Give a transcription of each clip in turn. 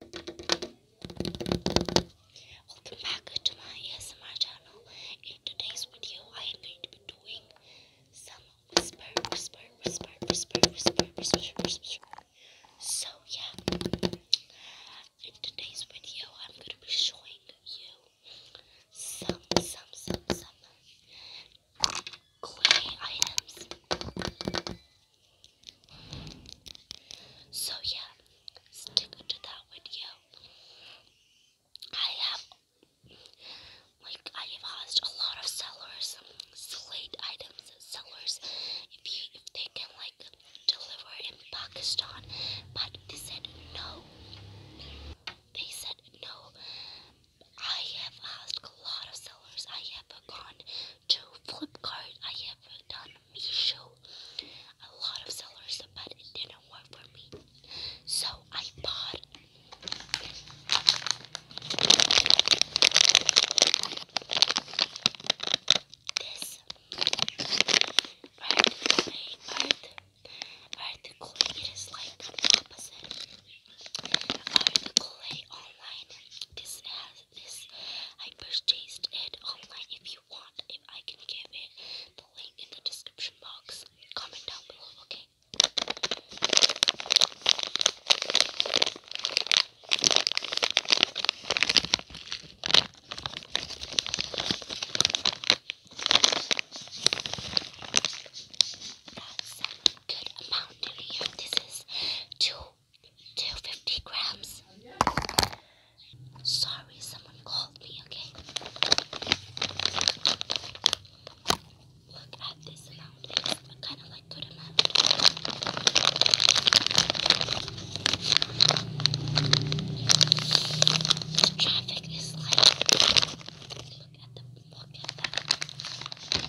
Welcome back to my ASMR channel. In today's video, I am going to be doing some whisper, whisper, whisper, whisper, whisper, whisper, whisper. So yeah, in today's video, I'm going to be showing you some, some, some, some clay items. So yeah, stick to that video. I have like I have asked a lot of sellers, slate items sellers, if you if they can like deliver in Pakistan, but they said no. They said no. I have asked a lot of sellers. I have gone to Flipkart. I have done Show a lot of sellers, but it didn't work for me. So I bought this earth clay, earth, it is like opposite. Earth clay online, this has this. I purchased it online. If you want, if I can give it the link in the description box, comment down below, okay? That's a good amount in here. This is two 250 grams. Sorry, someone called me, okay? Look at this amount. It's kind of like good amount. The traffic is like look at the look at that.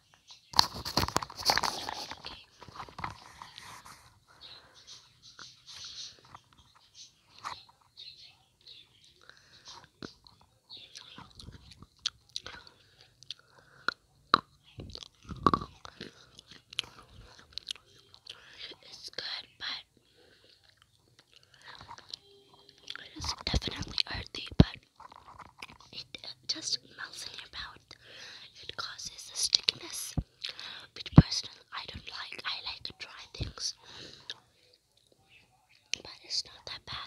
It's good, but it is definitely earthy, but it uh, just melts in your mouth. It causes a stickiness, which personally I don't like. I like dry things, but it's not that bad.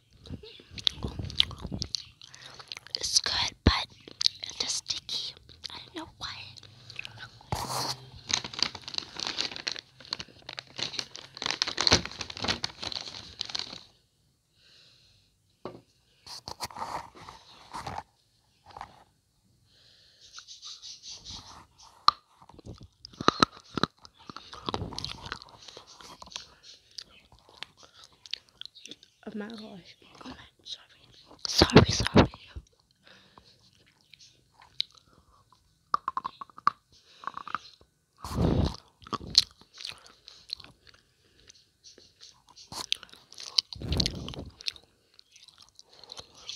It's good, but it's just sticky. I don't know why of my life. Oh, I'm sorry. Sorry, sorry.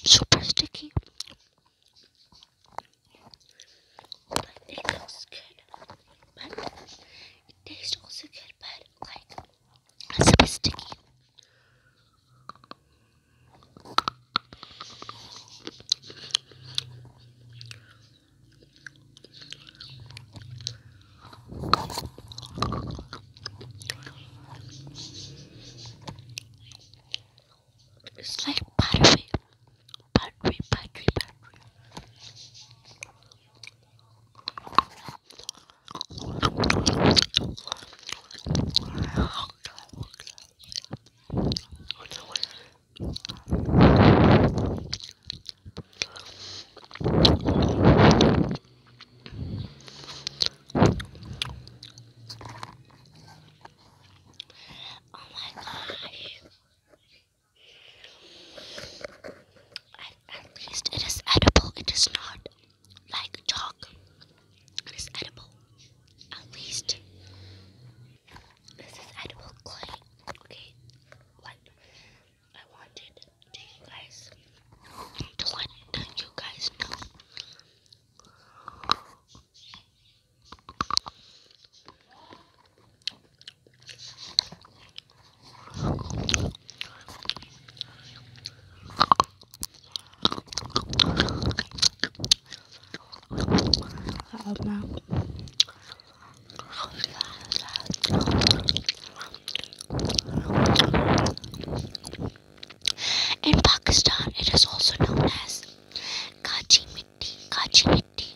Super sticky. But it looks good. But it tastes also good, but like it's a bit sticky. It's like butter battery, battery, battery. Oh my gosh. At, um, least it is edible. It is not like chalk. It is edible. At least this is edible clay. Okay, what I wanted to you guys to let you guys know in Pakistan, it is also known as Kachi Mitti. Kachi Mitti.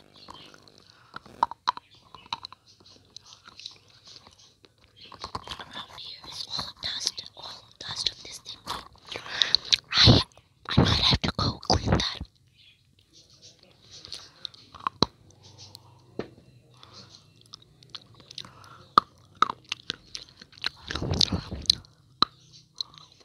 Around here is all dust, all dust of this thing. I, I might have to go clean that. I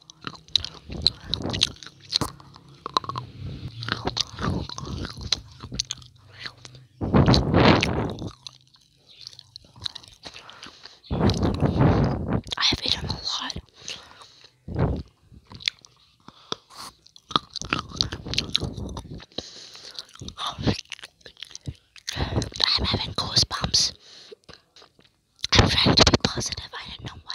have eaten a lot. I'm having goosebumps. I'm trying to be positive. I don't know why.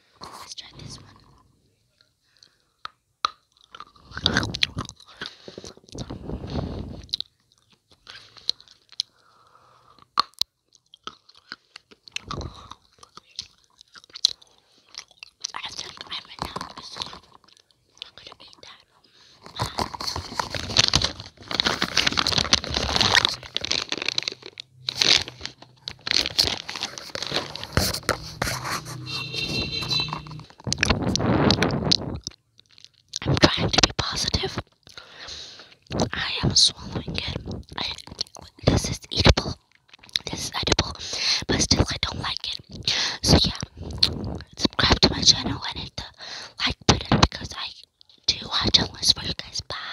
Let's try this one. I think I'm anonymous. I'm gonna be that. I'm trying to be positive. I am swallowing it. this is edible. This is edible. But still, I don't like it. So, yeah. Subscribe to my channel and hit the like button because I do watch unless for you guys. Bye.